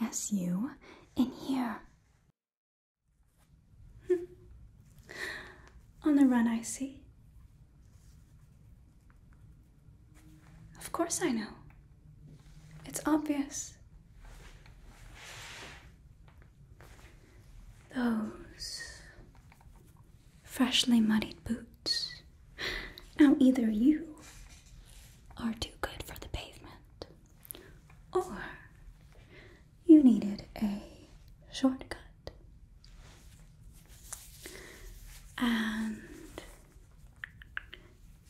Yes, you. In here. On the run, I see. Of course, I know. It's obvious. Those freshly muddied boots. Now, either you are too good for the pavement, or you needed a shortcut. And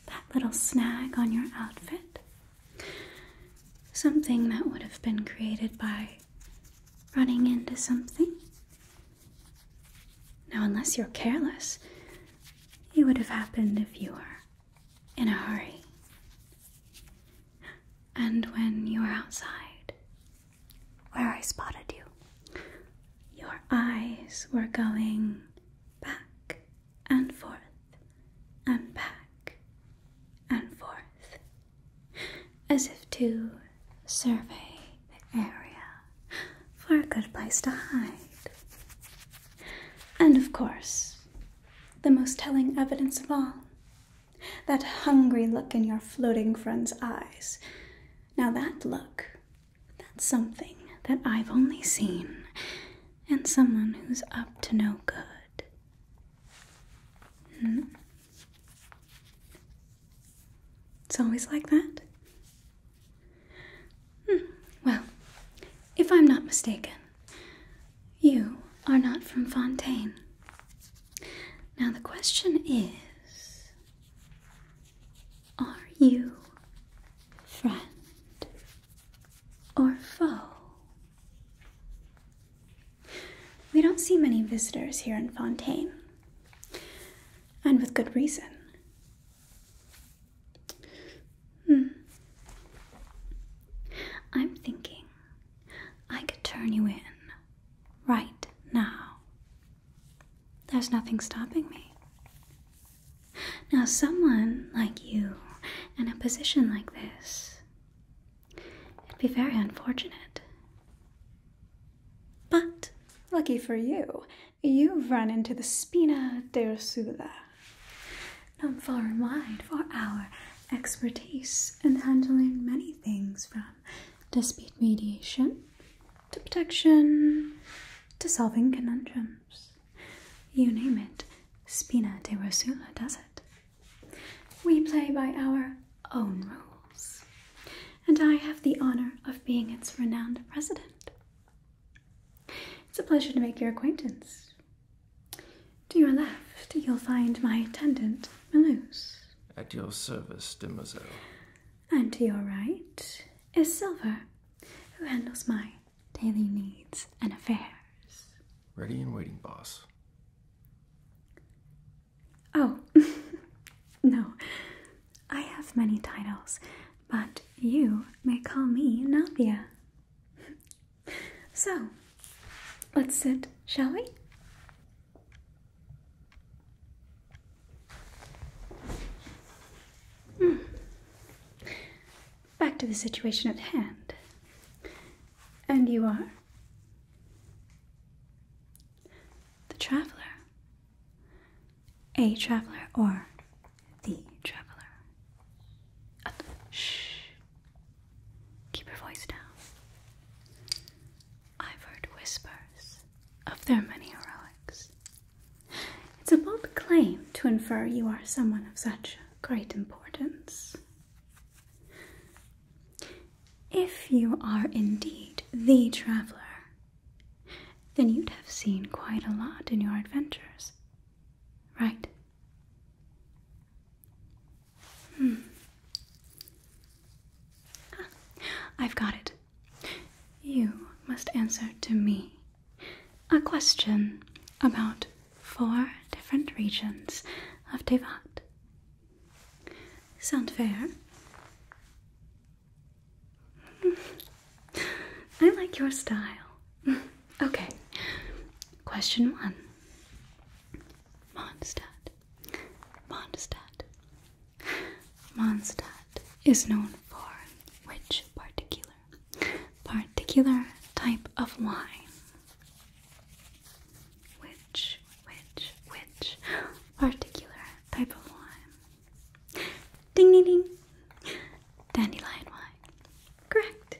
that little snag on your outfit, something that would have been created by running into something. Now, unless you're careless, it would have happened if you were in a hurry. And when you were outside, where I spotted you, your eyes were going back and forth, and back and forth, as if to survey the area for a good place to hide. And of course, the most telling evidence of all that hungry look in your floating friend's eyes. Now, that look, that's something that I've only seen in someone who's up to no good. Hmm? It's always like that. Hmm, well, if I'm not mistaken, you are not from Fontaine. Now the question is Are you friend or foe? We don't see many visitors here in Fontaine, and with good reason. Hmm. I'm thinking I could turn you in right now. There's nothing stopping me. Now, someone like you in a position like this, it'd be very unfortunate. But lucky for you, you've run into the spina De dorsula. Known far and wide for our expertise in handling many things from dispute mediation to protection to solving conundrums. You name it, spina De Rosula does it. We play by our own rules, and I have the honor of being its renowned president. It's a pleasure to make your acquaintance. To your left, you'll find my attendant, Malouse. At your service, demoiselle. And to your right is Silver, who handles my daily needs and affairs. Ready and waiting, boss. Oh, no. I have many titles but you may call me Navia. so, let's sit, shall we? Hmm. Back to the situation at hand. And you are? The traveler a traveler or the traveler. shh. Keep your voice down. I've heard whispers of their many heroics. It's a bold claim to infer you are someone of such great importance. If you are indeed the traveler, then you'd have seen quite a lot in your adventures right? Hmm. Ah, I've got it. You must answer to me a question about four different regions of Devat. Sound fair? I like your style. okay, question one Mondstadt. Mondstadt. Mondstadt is known for which particular particular type of wine? Which, which, which particular type of wine? Ding ding ding. Dandelion wine. Correct.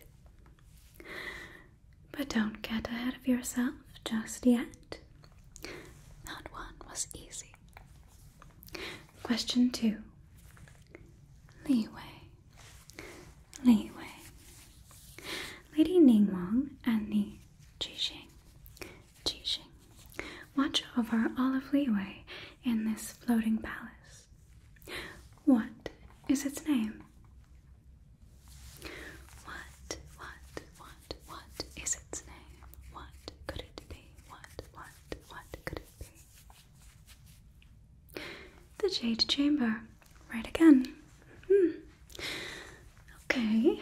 But don't get ahead of yourself just yet. That one was easy. Question two Leeway. Leeway. Lady Ningguang and the Jixing. Jixing watch over all of Leeway in this floating palace. What is its name? What, what, what, what is its name? What could it be? What, what, what could it be? The Jade Chamber. Right again. Hmm. Okay.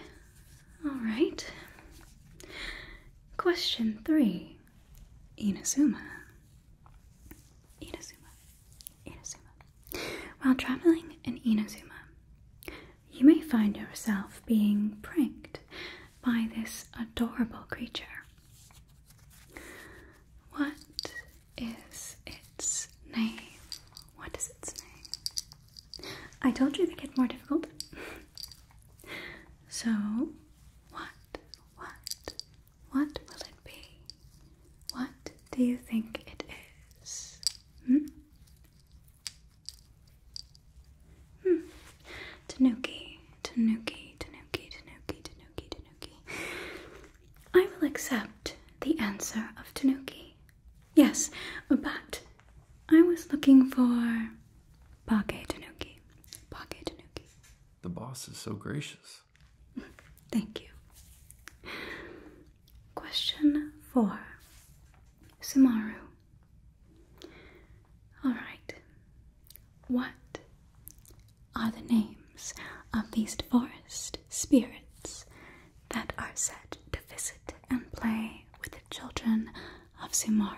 Alright. Question three Inazuma Inazuma. Inazuma. While traveling in Inazuma, you may find yourself being pranked by this adorable creature. What is its name? What is its name? I told you they get more difficult. so, what, what, what will it be? What do you think it is? Hmm? Hmm. Tanuki, Tanuki, Tanuki, Tanuki, Tanuki, Tanuki. I will accept the answer of Tanuki. Yes, but I was looking for Bake Tanuki. Bake Tanuki. The boss is so gracious. Thank you. Question four Sumaru. Alright. What are the names of these forest spirits that are said to visit and play with the children of Sumaru?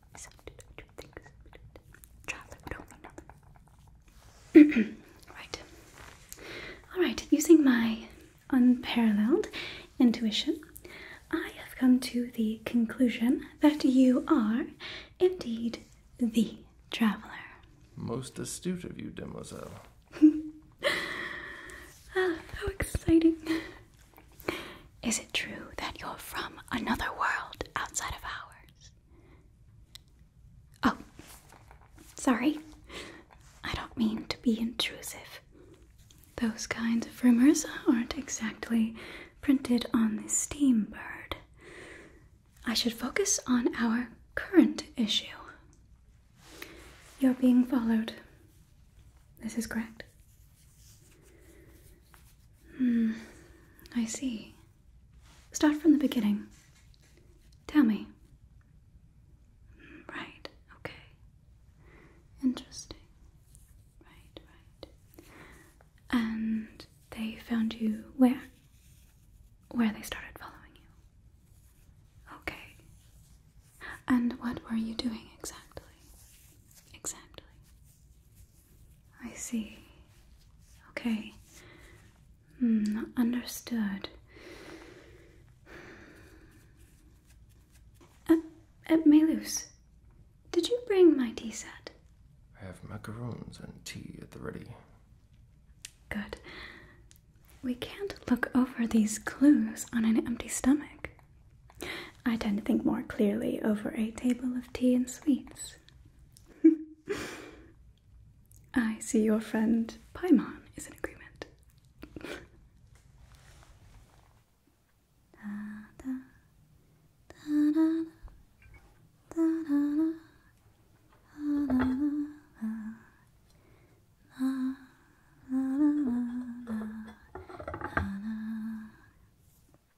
right. Alright, using my unparalleled intuition, I have come to the conclusion that you are indeed the traveler. Most astute of you, demoiselle. ah, how exciting. Is it true that you're from another world outside of ours? Oh, sorry. I don't mean to be intrusive. Those kinds of rumors aren't exactly printed on the steam bird. I should focus on our current issue. You're being followed. This is correct. Hmm, I see. Start from the beginning. Tell me. Right, okay. Interesting. Right, right. And they found you where? Where they started following you. Okay. And what were you doing exactly? Exactly. I see. Okay. Mm, understood. At, uh, at uh, Melus, did you bring my tea set? I have macaroons and tea at the ready. Good. We can't look over these clues on an empty stomach. I tend to think more clearly over a table of tea and sweets. I see your friend Paimon is in agreement.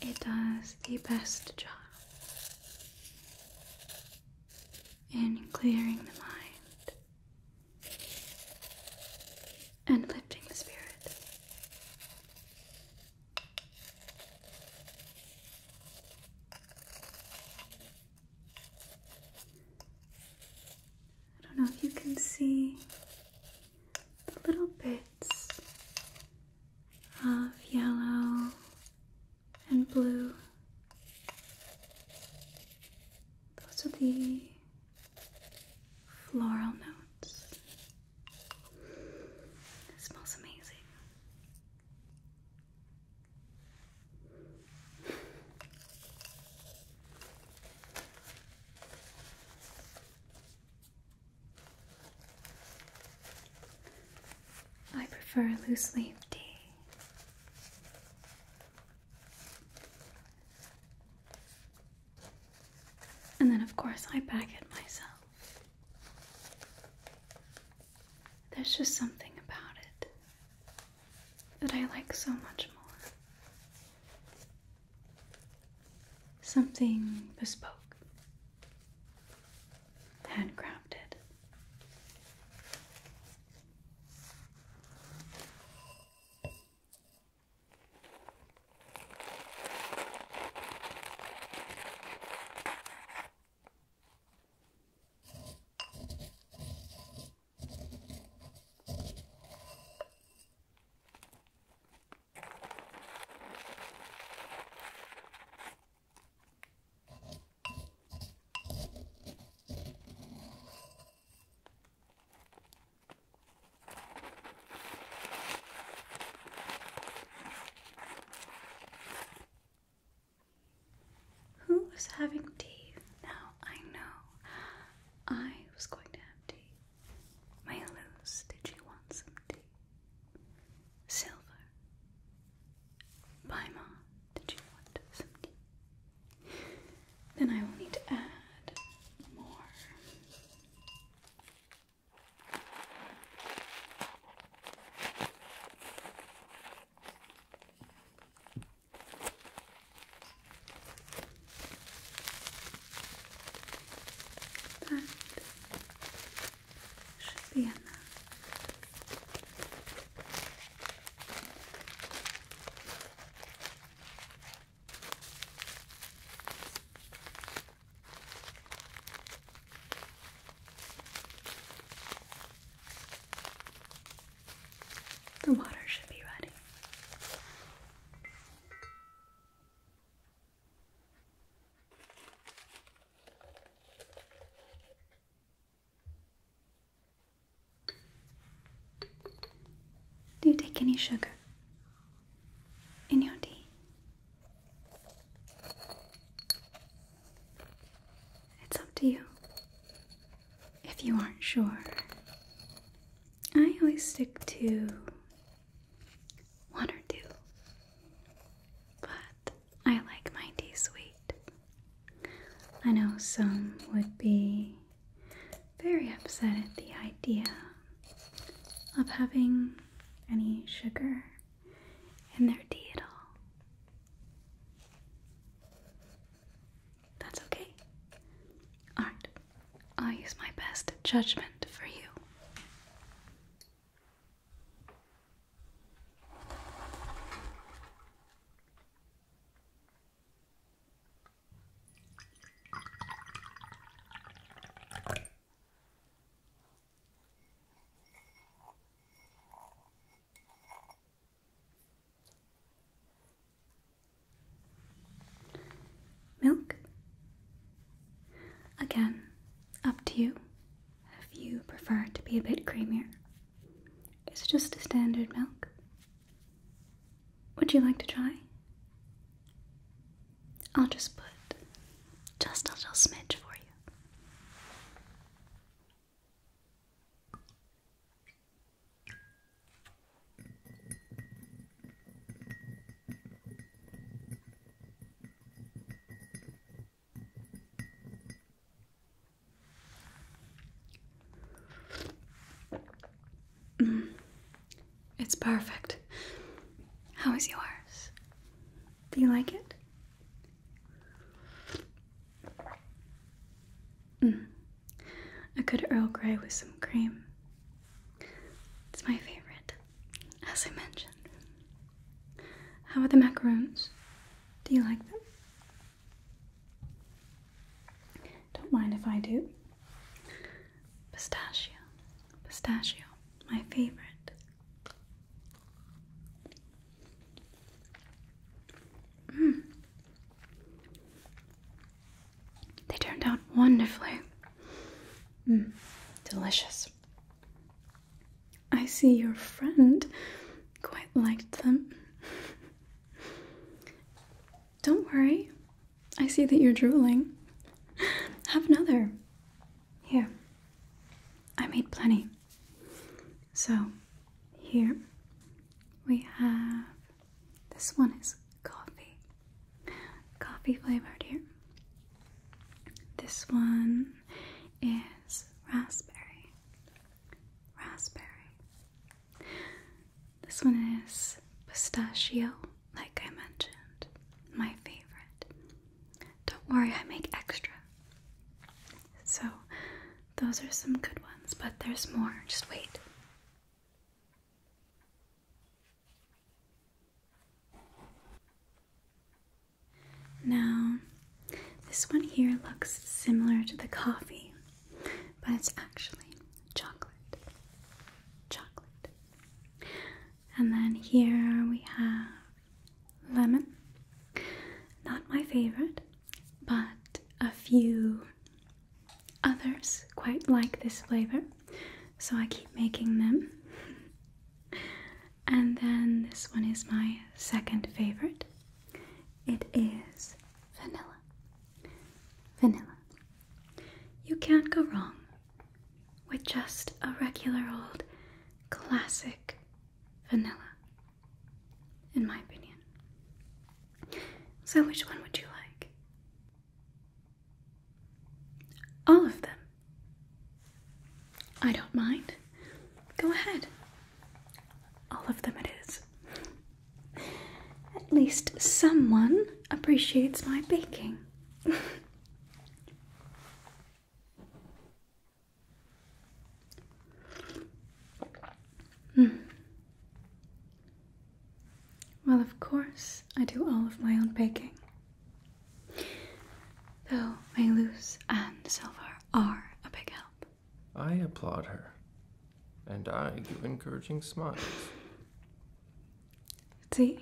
it does the best job in clearing the mind and lifting the spirit. I don't know if you can see the little bit of yellow and blue. Those are the floral notes. It smells amazing. I prefer loose leaf tea. And then, of course, I pack it myself. There's just something about it that I like so much more. Something bespoke, handcrafted. Who was having tea? Now I know I was going to have tea. My did you want some tea? Silver. Paimon, did you want some tea? Then I will need to add more. That should be enough. The water should be ready. Do you take any sugar in your tea? It's up to you if you aren't sure. I always stick to one or two, but I like my tea sweet. I know some would be very upset at the idea of having any sugar in their tea at all. That's okay. Alright, i use my best judgment for you. Milk? Again, up to you if you prefer to be a bit creamier. It's just a standard milk. Would you like to try? I'll just put just a little smidge for you. It's perfect. How is yours? Do you like it? Mm. A good Earl Grey with some cream. It's my favorite as I mentioned. How are the macaroons? Do you like them? Don't mind if I do. Pistachio, pistachio, my favorite. Mm. They turned out wonderfully. Mm, delicious. I see your friend quite liked them. Don't worry, I see that you're drooling. Have another. Here, I made plenty. So, here we have this one is coffee. Coffee flavored here. This one is raspberry. Raspberry. This one is pistachio, like I mentioned. My favorite. Don't worry, I make extra. So, those are some good ones, but there's more. Just wait. Now, this one here looks similar to the coffee, but it's actually chocolate. Chocolate. And then here we have lemon. Not my favorite, but a few others quite like this flavor so I keep making them. and then this one is my second favorite. It is vanilla. Vanilla. You can't go wrong with just a regular old classic vanilla, in my opinion. So, which one would you like? All of them. I don't mind. Go ahead. All of them it is. At least someone appreciates my baking. hmm. Well, of course, I do all of my own baking. Though Mayluz and silver are a big help. I applaud her, and I give encouraging smiles. See?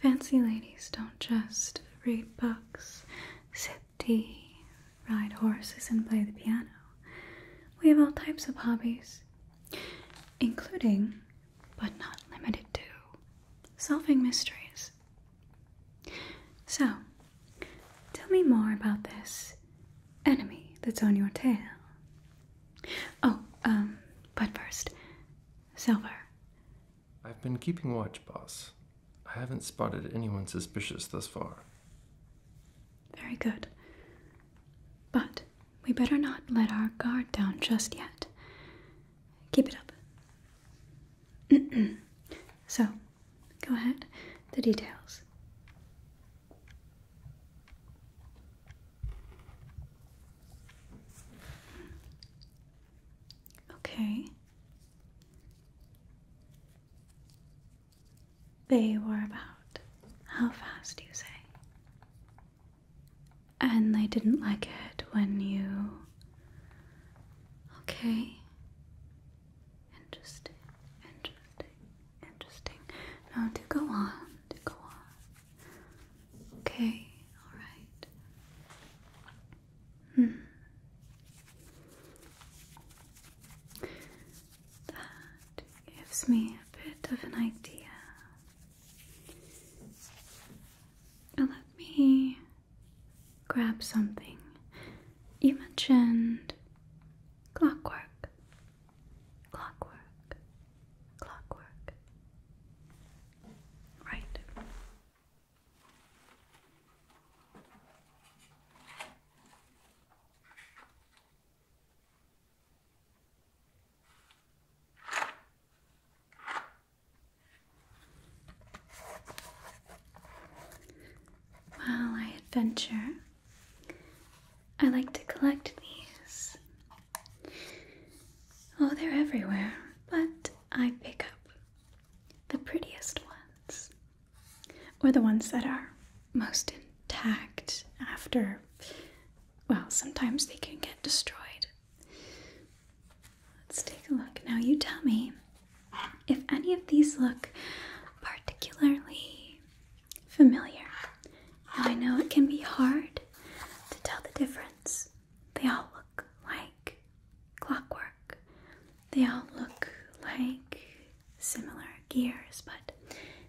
Fancy ladies don't just read books, sip tea, ride horses, and play the piano. We have all types of hobbies, including but not limited to, solving mysteries. So, tell me more about this enemy that's on your tail. Oh, um, but first, Silver. I've been keeping watch, boss. I haven't spotted anyone suspicious thus far. Very good. But we better not let our guard down just yet. Keep it up. so, go ahead, the details. Okay. They were about. How fast, do you say? And they didn't like it when you. Okay. Interesting, interesting, interesting. Now do go on, do go on. Okay, alright. Hmm. That gives me a bit of an idea. Now let me grab something. You mentioned clockwork, clockwork, clockwork. Right. While I adventure, I like to collect these. Oh, they're everywhere, but I pick up the prettiest ones, or the ones that are most intact after. Well, sometimes they can get destroyed Let's take a look. Now, you tell me if any of these look particularly familiar. I know it can be hard to tell the difference. They all look like clockwork, they all look like similar gears, but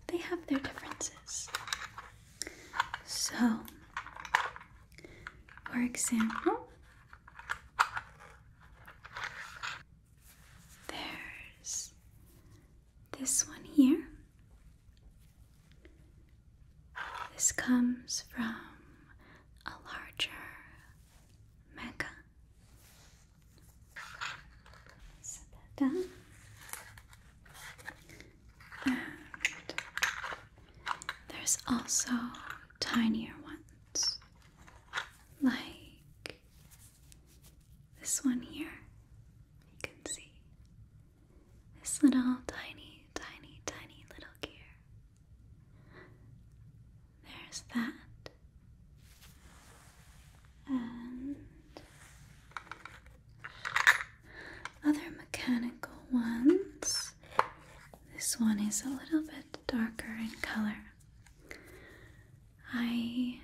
they have their differences. So, for example, there's this one here. This comes from a larger mecca. Set that down. And there's also tinier ones, like this one here. You can see this little tiny, tiny, tiny little gear. There's that. And other mechanical ones. This one is a little bit darker in color. I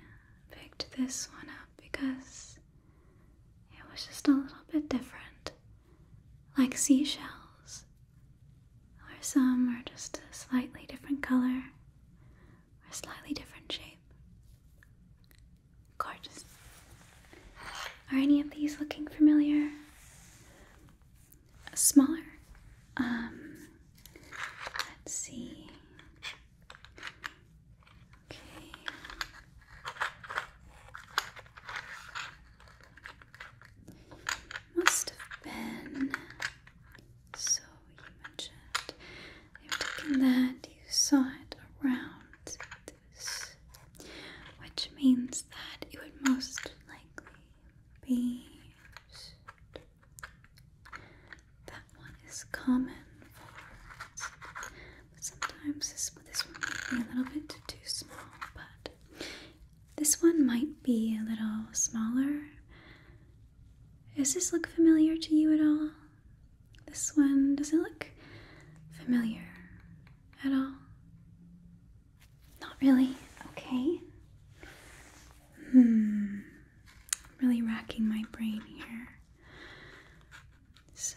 picked this one up because it was just a little bit different, like seashells, or some are just a slightly different color or slightly different shape. Gorgeous. Are any of these looking familiar? Smaller? Um, let's see. Okay. Must have been. So you mentioned you've that, you saw it around which means that it would most likely be that one is common sometimes this, this one might be a little bit too small, but this one might be a little smaller. Does this look familiar to you at all? This one, does it look familiar? at all? Not really? Okay. Hmm. I'm really racking my brain here. So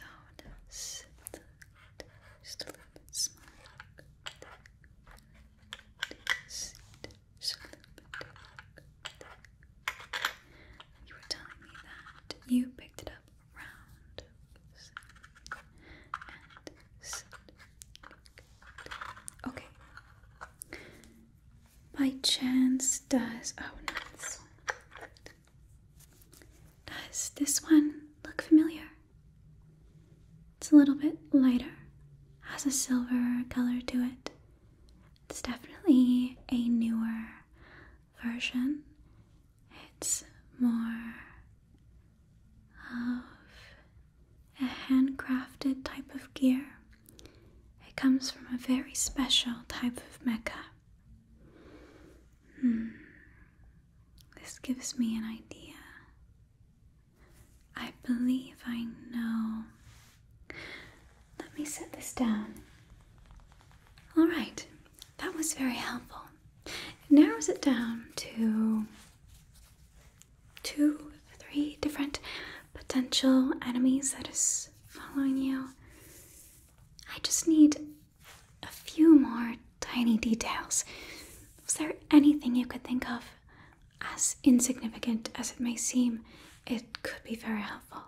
You were telling me that you picked up round Okay. By chance, does oh Does this one look familiar? It's a little bit lighter, has a silver color to it. It's definitely a newer version. It's more of a handcrafted type of gear. It comes from a very special type of Mecca. Hmm. This gives me an idea. I believe I know. Let me set this down. All right, that was very helpful narrows it down to two, three different potential enemies that is following you. I just need a few more tiny details. Was there anything you could think of? As insignificant as it may seem, it could be very helpful.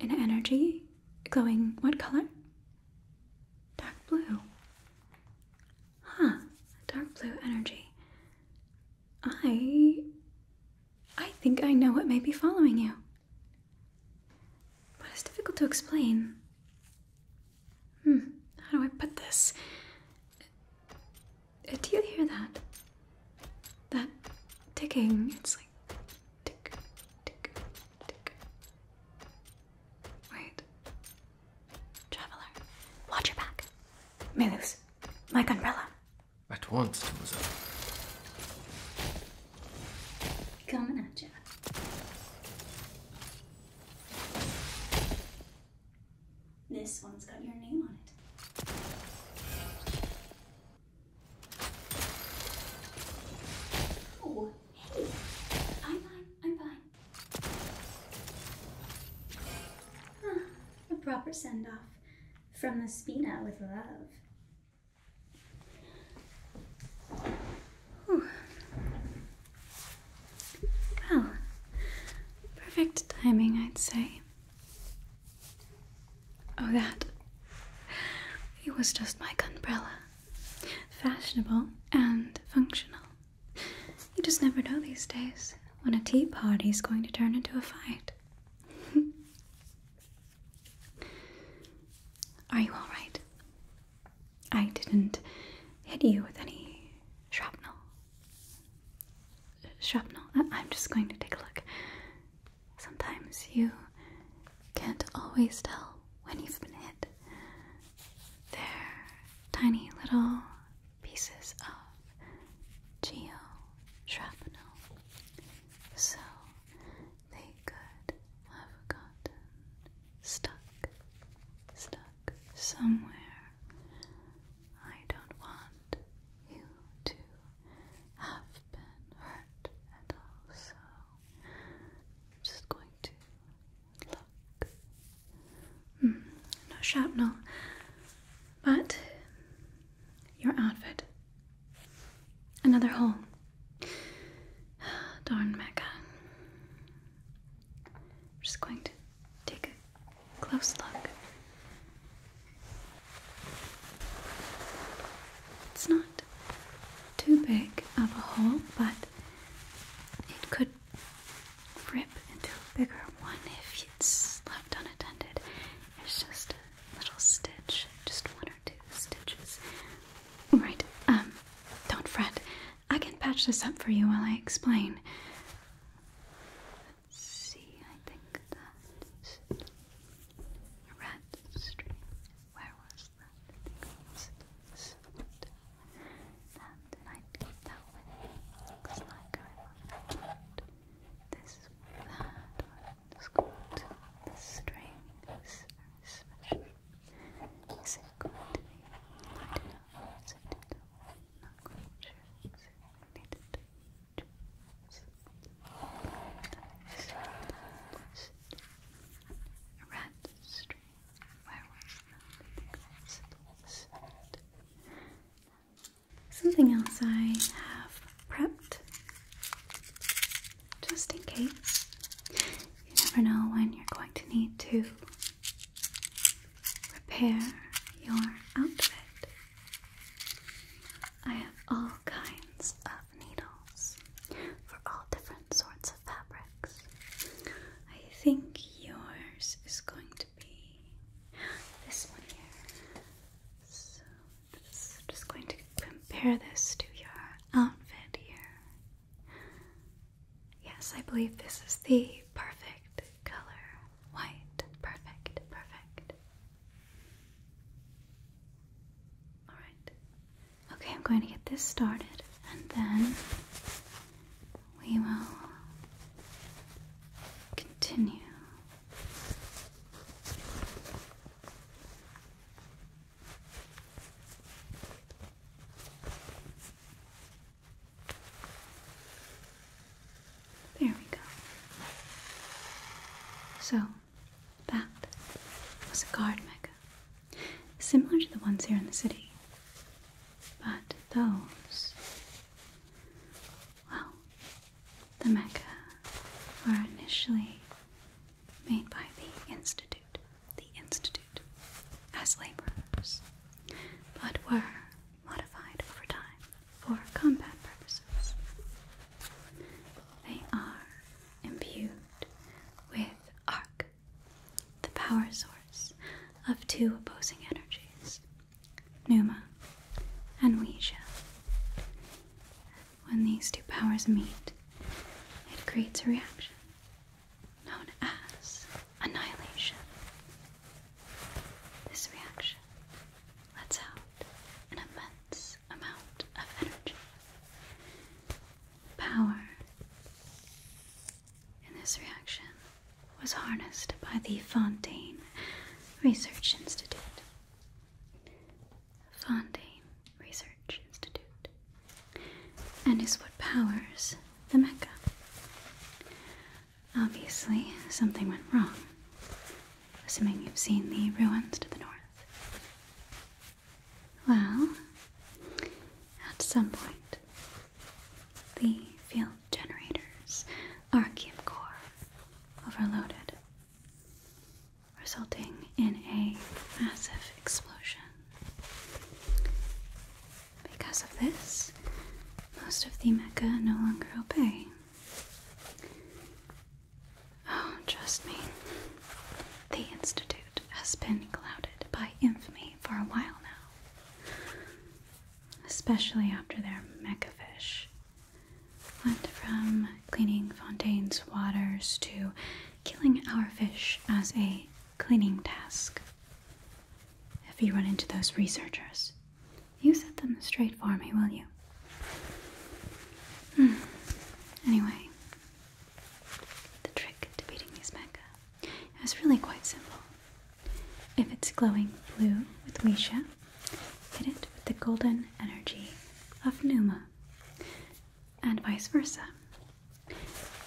An energy glowing what color? Dark blue. Huh, dark blue energy. I. I think I know what may be following you. But it's difficult to explain. Hmm, how do I put this? Uh, do you hear that? That ticking. It's like tick, tick, Tick. Traveler, watch your back. Melus, my umbrella. At once, Mademoiselle. Coming at you. This one's got your name on it. Oh, hey. I'm fine. I'm fine. A proper send off from the Spina with love. Whew. Well, perfect timing, I'd say. Oh, that. It was just my umbrella fashionable and functional. You just never know these days when a tea party is going to turn into a fight. Are you alright? I didn't hit you with any shrapnel. Shrapnel? I'm just going to take a look. Sometimes you can't always tell when you've been hit. They're tiny little pieces of geo shrapnel. So they could have gotten stuck, stuck somewhere. I don't want you to have been hurt at all, so I'm just going to look. Hmm, no shrapnel, but your outfit. Another hole. Darn Mecca. just going to take a close look. It's not too big of a hole, but it could rip into a bigger one if it's left unattended. It's just a little stitch, just one or two stitches. Right, um, don't fret. I can patch this up for you while I explain. see, I think that's red stream. Where was and I'd keep that with me, because like I that one's called the strings, very special. Is it to be? I know, is it not quite sure, is to do? That is, a rat Something else I have prepped just in case. You never know when you're going to need to repair your outfit. I have all kinds of needles for all different sorts of fabrics. I think yours is going to be this one here. So just, just going to compare this to your outfit here. Yes, I believe this is the perfect color. White. Perfect. Perfect. Alright. Okay, I'm going to get this started and then we will continue. There we go. So that was a guard mechanism similar to the ones here in the city. But those, well, the mecha were initially made by the Institute, the Institute, as laborers, but were modified over time for combat purposes. They are imbued with arc the power source of two opposing energies, Numa and Ouija. When these two powers meet, it creates a reaction known as annihilation. This reaction lets out an immense amount of energy power in this reaction was harnessed by the Fontaine Research Institute. Fontaine Research Institute, and is what powers the Mecca. Obviously, something went wrong, assuming you've seen the ruins to the north. Well, at some point, the field generators are core overloaded, resulting in a massive explosion. Because of this, most of the mecha no longer obey. Oh, trust me, the Institute has been clouded by infamy for a while now, especially after their megafish. Went from cleaning Fontaine's waters to killing our fish as a cleaning task. If you run into those researchers, you set them straight for me, will you? Hmm. Anyway, the trick to beating these mecha is really quite simple. If it's glowing blue with Weisha, hit it with the golden energy of Numa, and vice versa.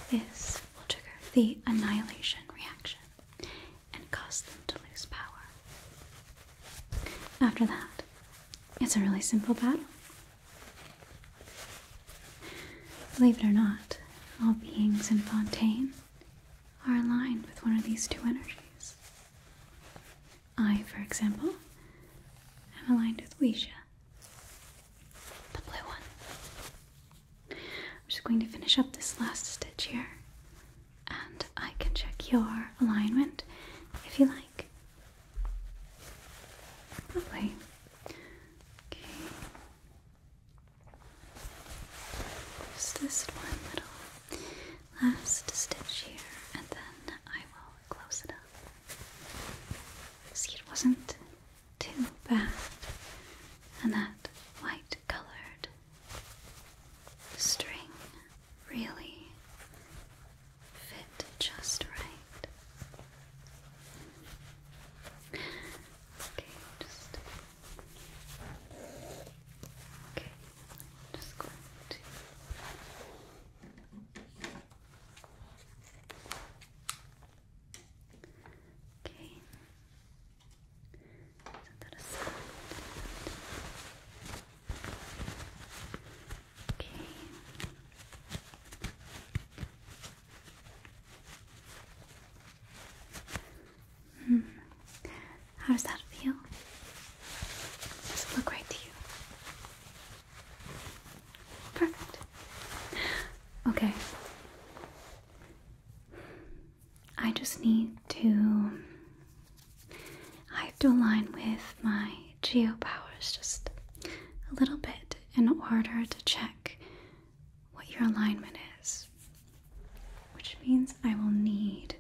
This will trigger the annihilation reaction and cause them to lose power. After that, it's a really simple battle. Believe it or not, all beings in Fontaine are aligned with one of these two energies. I, for example, am aligned with Ouija, the blue one. I'm just going to finish up this last stitch here, and I can check your alignment if you like. Lovely. Okay. Just this one little last stitch here, and then I will close it up. See, it wasn't too bad, and that white colored string really fit just right. Right. Okay, just okay. Just going Okay. Set that aside. Okay. Hmm. How does that feel? Does it look right to you? Perfect. Okay. I just need to. I have to align with my geo powers just a little bit in order to check what your alignment is, which means I will need.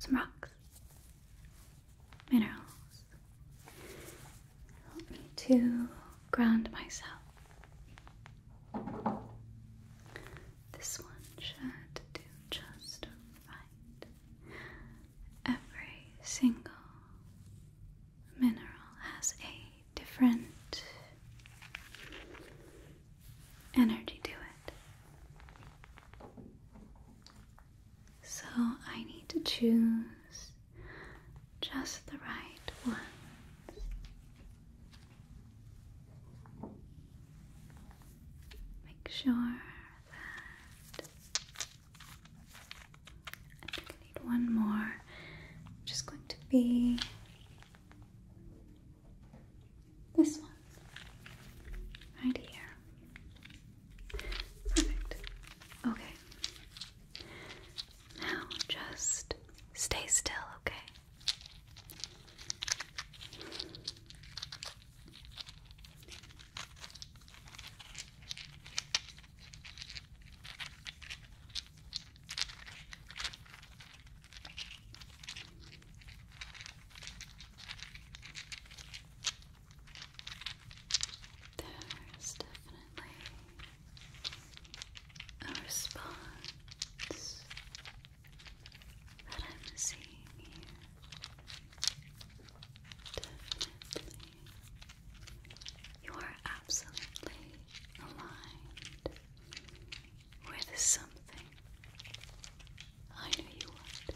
Some rocks, minerals, Help me to ground myself. This one should do just right. Every single mineral has a different energy to it. So I need to choose just the right ones. Make sure that I think I need one more. just going to be this one right here. Perfect. Okay. Now just stay still, okay? There's definitely a response that I'm seeing here. Definitely, you are absolutely aligned with something. I knew you would,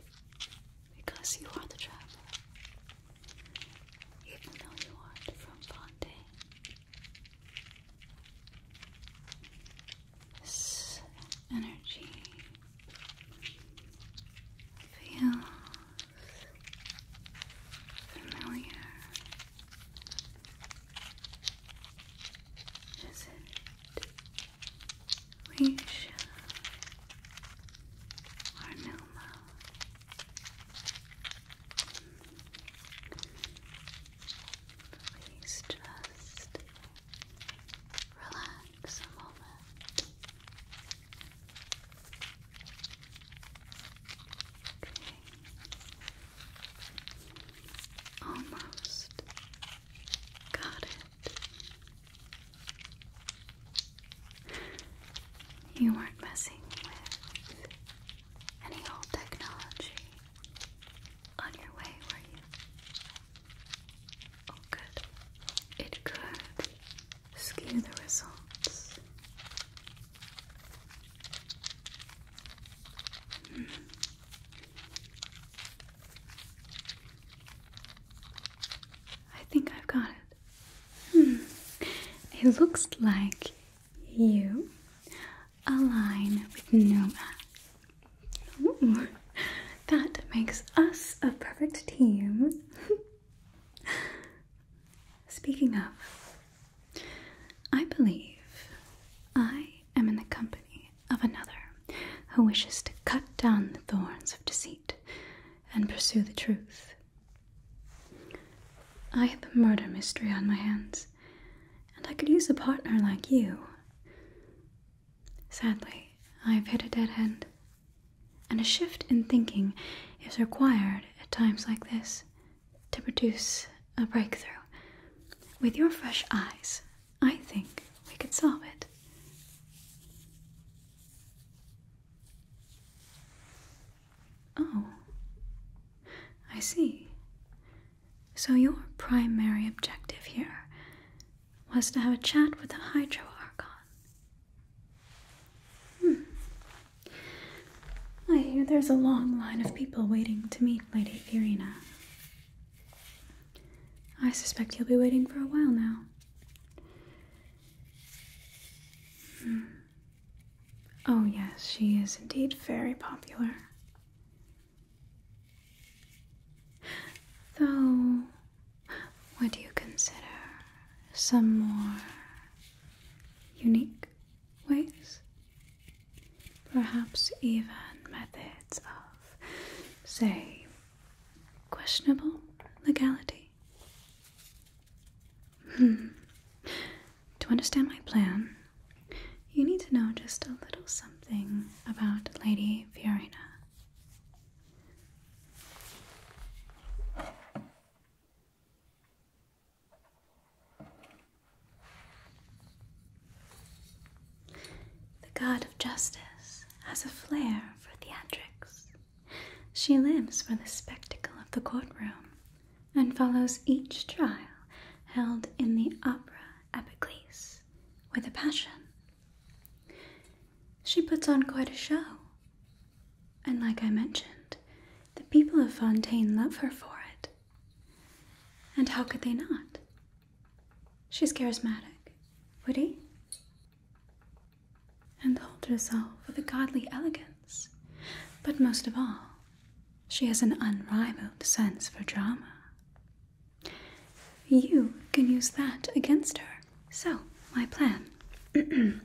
because you are the traveler even though you are from Fontaine. This energy feels familiar. Is it Risha or Numa? Please just relax a moment. Okay. Almost got it. You weren't messing with any old technology on your way, Where you? Oh, good. It could skew the results. Hmm. I think I've got it. Hmm. It looks like you align with Noma. that makes us a perfect team. Speaking of, I believe I am in the company of another who wishes to cut down the thorns of deceit and pursue the truth I have a murder mystery on my hands, and I could use a partner like you. Sadly, I've hit a dead end, and a shift in thinking is required at times like this to produce a breakthrough. With your fresh eyes, I think we could solve it. Oh, I see. So, your primary objective here was to have a chat with the Hydro Archon. Hmm. I hear there's a long line of people waiting to meet Lady Irina. I suspect you'll be waiting for a while now. Hmm. Oh, yes, she is indeed very popular. Though, would you consider some more unique ways? Perhaps even methods of, say, questionable legality? to understand my plan, you need to know just a little something about Lady Fiorina. The god of justice has a flair for theatrics. She lives for the spectacle of the courtroom, and follows each trial held in the opera Epicles with a passion. She puts on quite a show, and like I mentioned, the people of Fontaine love her for it. And how could they not? She's charismatic, witty, and holds herself with a godly elegance but most of all, she has an unrivaled sense for drama. You can use that against her. So, my plan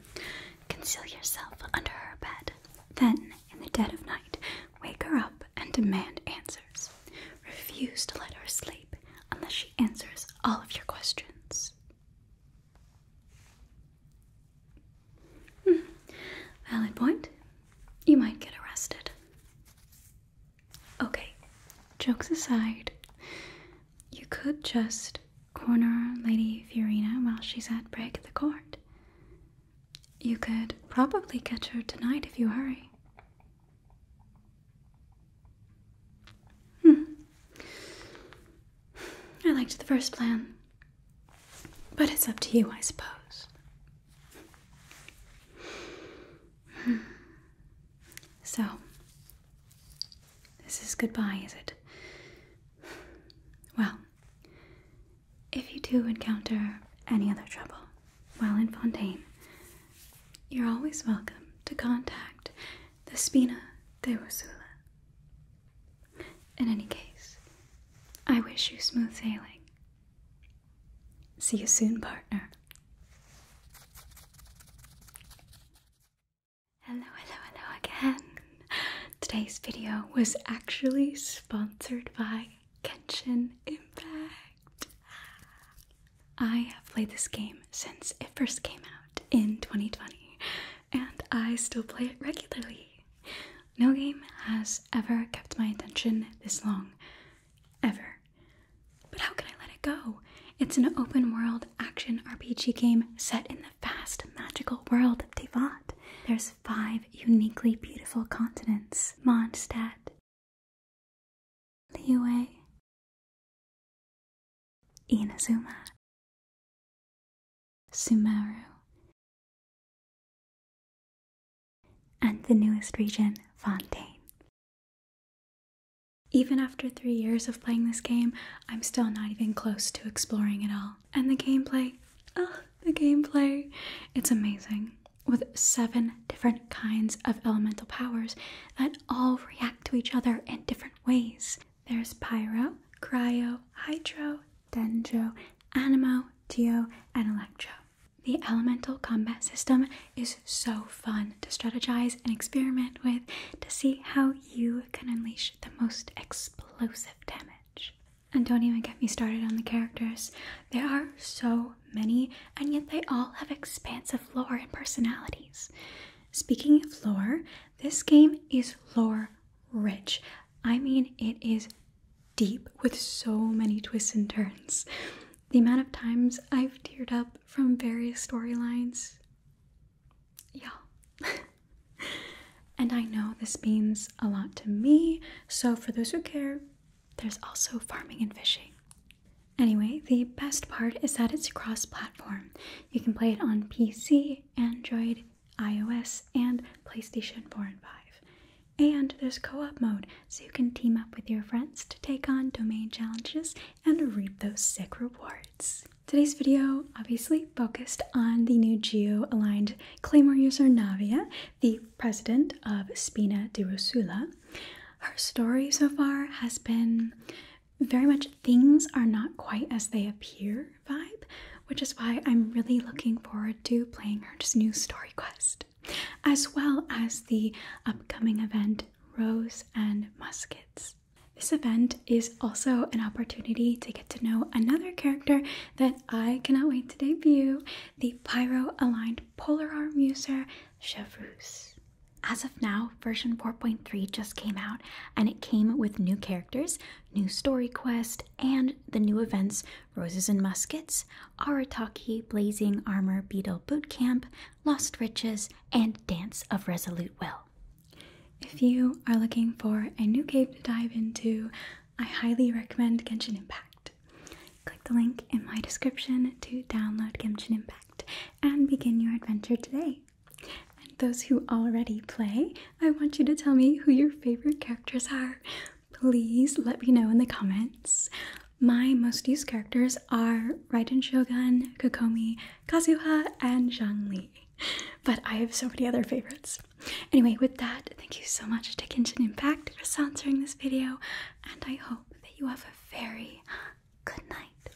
conceal yourself under her bed. Then, in the dead of night, wake her up and demand answers. Refuse to let her sleep unless she answers all of your questions. Hmm. Valid point. You might get arrested. Okay, jokes aside, you could just corner Lady Fiorina while she's at break at the court. You could probably catch her tonight if you hurry. Hmm. I liked the first plan. But it's up to you, I suppose. Hmm. So, this is goodbye, is it? Well, if you do encounter any other trouble while in Fontaine, you're always welcome to contact the Spina de Rosula. In any case, I wish you smooth sailing. See you soon, partner. Hello, hello, hello again. Today's video was actually sponsored by Genshin Impact. I have played this game since it first came out in 2020, and I still play it regularly. No game has ever kept my attention this long. Ever. But how can I let it go? It's an open world action RPG game set in the vast magical world of Devot. There's five uniquely beautiful continents Mondstadt, Liyue, Inazuma, Sumaru, and the newest region, Fontaine. Even after three years of playing this game, I'm still not even close to exploring it all. And the gameplay, oh, the gameplay, it's amazing. With seven different kinds of elemental powers that all react to each other in different ways. There's Pyro, Cryo, Hydro, Dendro, Animo, Geo, and Electro. The elemental combat system is so fun to strategize and experiment with to see how you can unleash the most explosive damage. And don't even get me started on the characters. There are so many, and yet they all have expansive lore and personalities. Speaking of lore, this game is lore rich. I mean, it is deep with so many twists and turns. The amount of times I've teared up from various storylines. Yeah. and I know this means a lot to me, so for those who care, there's also farming and fishing. Anyway, the best part is that it's cross platform. You can play it on PC, Android, iOS, and PlayStation 4 and 5. And there's co op mode, so you can team up with your friends to take on domain challenges and reap those sick rewards. Today's video obviously focused on the new geo aligned Claymore user Navia, the president of Spina di Rusula. Her story so far has been very much things are not quite as they appear vibe, which is why I'm really looking forward to playing her just new story quest, as well as the upcoming event Rose and Muskets. This event is also an opportunity to get to know another character that I cannot wait to debut the Pyro aligned polar arm user, Chavroose. As of now, version 4.3 just came out and it came with new characters, new story quest and the new events Roses and Muskets, Arataki Blazing Armor Beetle Boot Camp, Lost Riches, and Dance of Resolute Will. If you are looking for a new game to dive into, I highly recommend Genshin Impact. Click the link in my description to download Genshin Impact and begin your adventure today. And those who already play, I want you to tell me who your favorite characters are. Please let me know in the comments. My most used characters are Raiden Shogun, Kokomi, Kazuha, and Zhang But I have so many other favorites. Anyway, with that, thank you so much to Genshin Impact for sponsoring this video, and I hope that you have a very good night.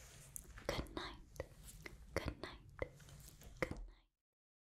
Good night. Good night. Good night.